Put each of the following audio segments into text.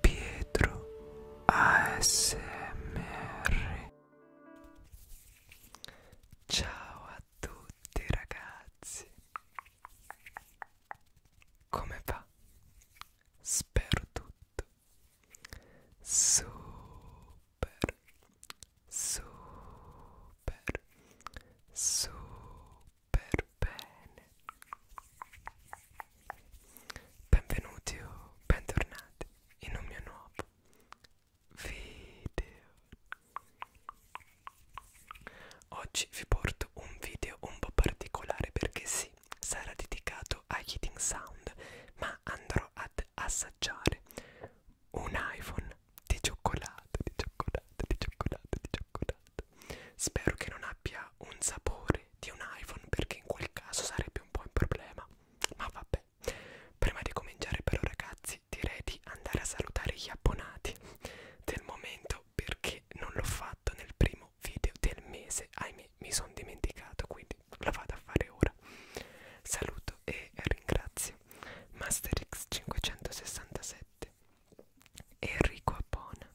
Pietro ASMR Ciao a tutti ragazzi Come va? Spero tutto Super Super Super per bene. Benvenuti o bentornati in un mio nuovo video. Oggi vi porto un video un po' particolare perché sì, sarà dedicato ai Hitting Sound, ma andrò ad assaggiare un iPhone di cioccolato, di cioccolato, di cioccolato, di cioccolato. Belt. Spero che non abbia un sapore di un iPhone perché in quel caso sarebbe un po' un problema. Ma vabbè. Prima di cominciare però ragazzi direi di andare a salutare gli abbonati del momento perché non l'ho fatto nel primo video del mese. Ahimè mi sono dimenticato quindi lo vado a fare ora. Saluto e ringrazio MasterX567 Enrico Appona,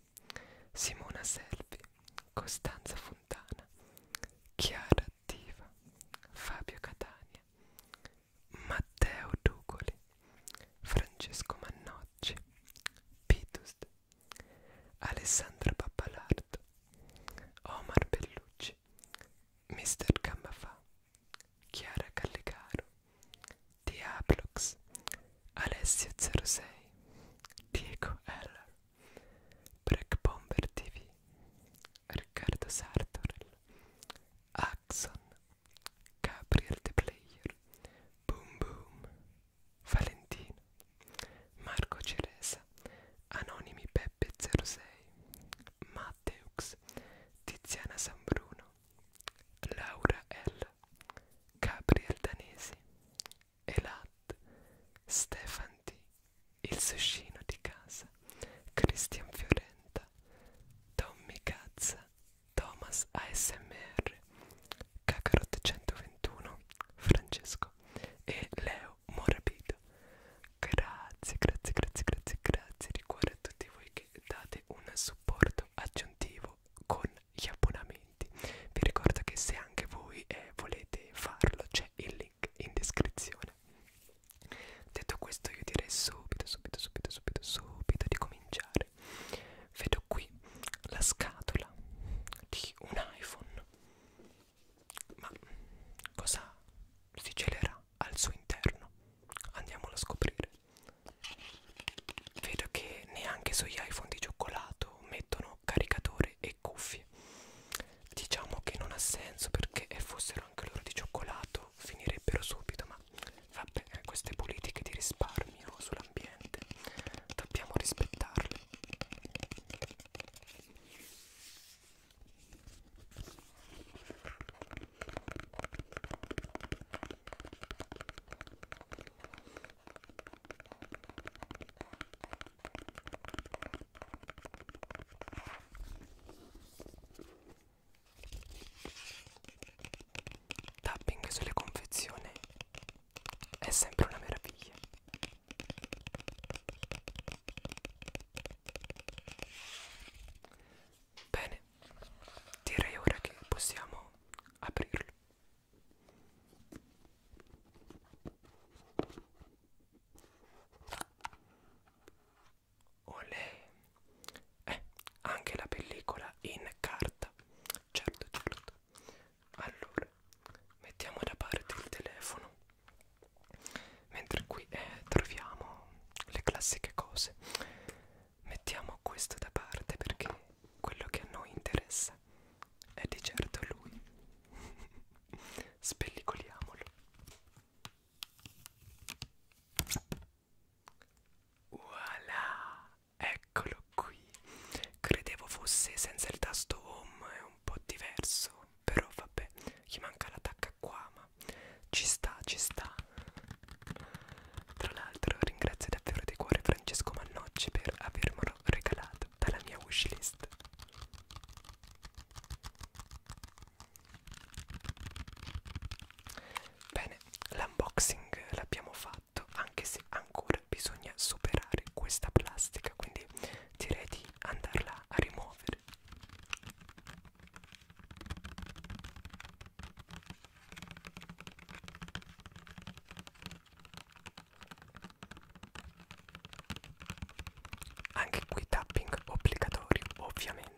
Simona Selvi, Costanza Fontana, Chiara Attiva, Fabio Catania, Matteo Ducoli, Francesco Mannocci, Pitus, Alessandra Pappalardo, Omar Bellucci, Mr. Gambafà, Chiara Callegaro, Diablox, Alessio06, Diego Heller, Break Bomber TV, Riccardo Sartorel, Axon, Gabriel The Player, Boom Boom, Valentino, Marco Ceresa, Anonimi Peppe06, Matteux, Tiziana San Bruno, Laura L, Gabriel Danesi, Elad, Stefan D, Il Suscino di Casa, Cristian Fiorenta, Tommy Cazza, Thomas ASMR, Kakarot 121, Francesco e Leo Morabito. Grazie, grazie, grazie, grazie, grazie di cuore a tutti voi che date un supporto aggiuntivo con gli abbonamenti vi ricordo che se anche voi eh, volete farlo c'è il link in descrizione detto questo io direi subito subito subito subito subito di cominciare vedo qui la scatola di un iPhone ma cosa si gelerà al suo interno andiamolo a scoprire Vedo che neanche sugli iPhone di cioccolato mettono caricatore e cuffie. Diciamo che non ha senso perché fossero anche loro di cioccolato finirebbero subito, ma vabbè, eh, queste politiche di risparmio sull'ambiente dobbiamo rispettarle. Tapping sulle confezioni è sempre una meraviglia. Bene, direi ora che possiamo aprirlo. Olè! Eh, anche la pellicola in carta. Certo, certo. Allora, mettiamo da parte il telefono mentre qui eh, troviamo le classiche cose mettiamo questo da parte perché quello che a noi interessa è di certo lui spellicoliamolo voilà eccolo qui credevo fosse senza il tasto home è un po' diverso però vabbè gli manca la tacca qua ma ci sta, ci sta. Tra l'altro ringrazio davvero di cuore Francesco Mannocci per avermelo regalato dalla mia wishlist. Bene, l'unboxing l'abbiamo fatto, anche se ancora bisogna superare questa plastica, quindi direi di andarla a rimuovere vedere anche qui tapping obbligatorio ovviamente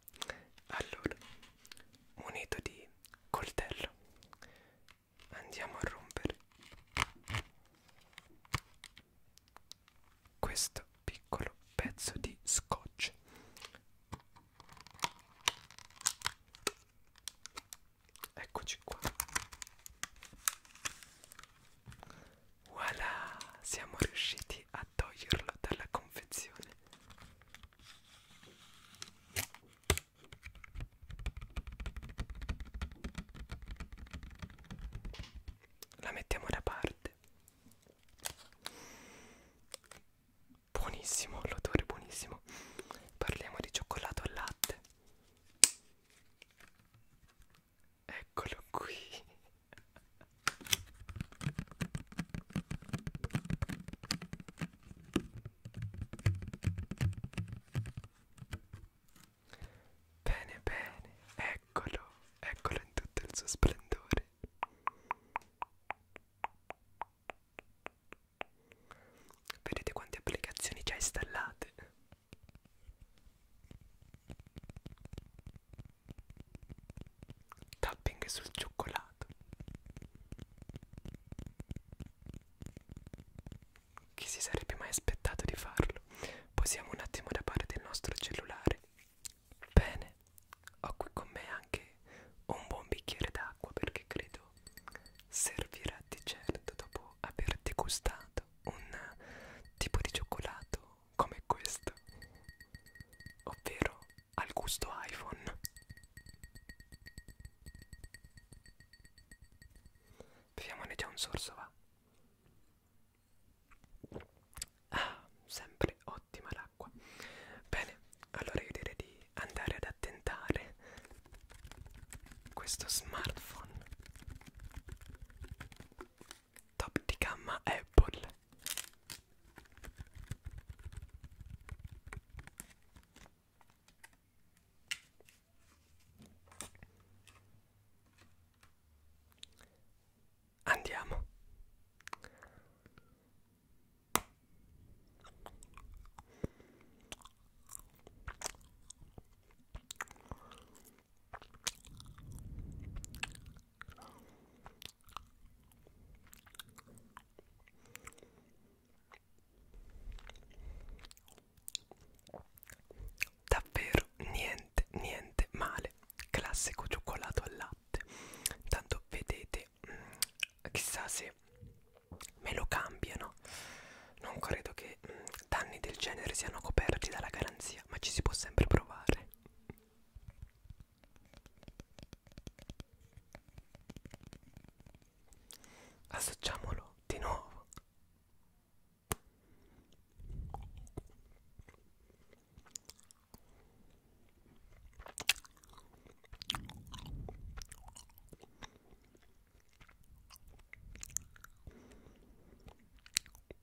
allora munito di coltello andiamo a rompere questo piccolo pezzo di scotch eccoci qua voilà siamo riusciti a toglierlo dalla confezione la mettiamo da parte buonissimo l'odore buonissimo parliamo di cioccolato al latte eccolo qui Bene, bene, eccolo, eccolo in tutto il suo splendore. Vedete quante applicazioni già installate. Tapping sul cioccolato. Chi si sarebbe mai aspettato di farlo? Posiamo un attimo da parte del nostro cellulare. Bene, ho qui con me anche un buon bicchiere d'acqua perché credo servirà di certo dopo aver degustato un tipo di cioccolato come questo, ovvero al gusto iPhone. Beviamone già un sorso, va. Ah, sempre ottima l'acqua. Bene, allora io direi di andare ad attentare questo smartphone top di gamma Apple Andiamo Davvero niente, niente male. Classico cioccolato al latte. Tanto vedete, mh, mm, chissà se me lo cambiano. Non credo che mh, mm, danni del genere siano coperti dalla garanzia, ma ci si può sempre provare. Assaggiamolo di nuovo.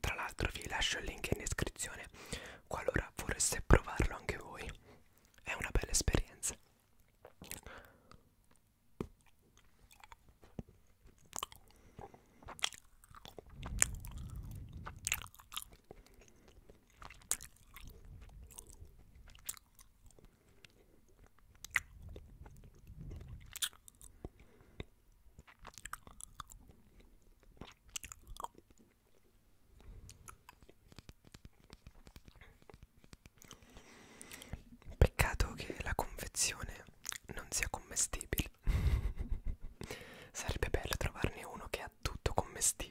Tra l'altro vi lascio il link in descrizione qualora vorreste provarlo anche voi. È una bella esperienza. Peccato che la confezione non sia commestibile. Sarebbe bello trovarne uno che ha tutto commestibile.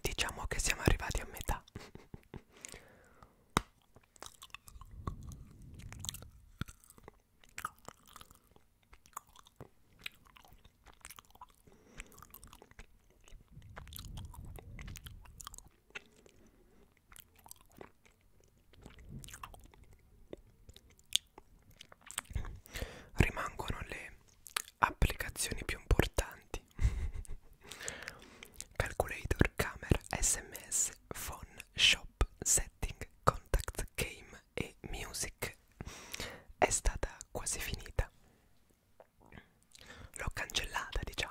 Diciamo che siamo arrivati a metà rimangono le applicazioni più importanti calculator, camera, sms, phone, shop, setting, contact, game e music è stata quasi finita l'ho cancellata diciamo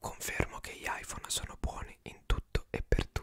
Confermo che gli iPhone sono buoni in tutto e per tutto.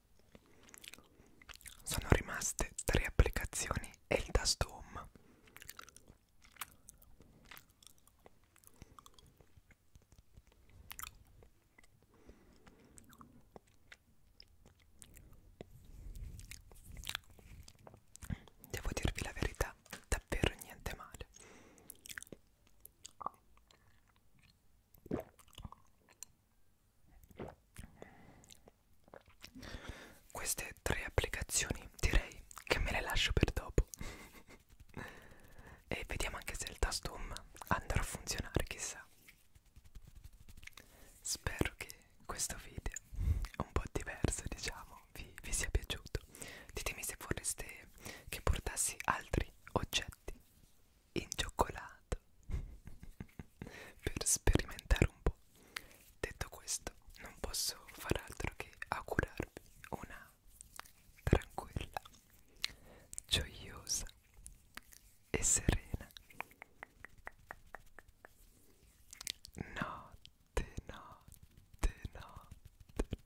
Sono rimaste tre applicazioni e il tasto home. Devo dirvi la verità, davvero niente male. Queste tre applicazioni direi che me le lascio per dopo e vediamo anche se il tasto home andrà a funzionare, chissà. Spero che questo video, un po' diverso diciamo, vi, vi sia piaciuto. Ditemi se vorreste che portassi altri oggetti in cioccolato per sperimentare un po'. Detto questo, non posso far altro che augurarvi una tranquilla, gioiosa e serena notte, notte, notte.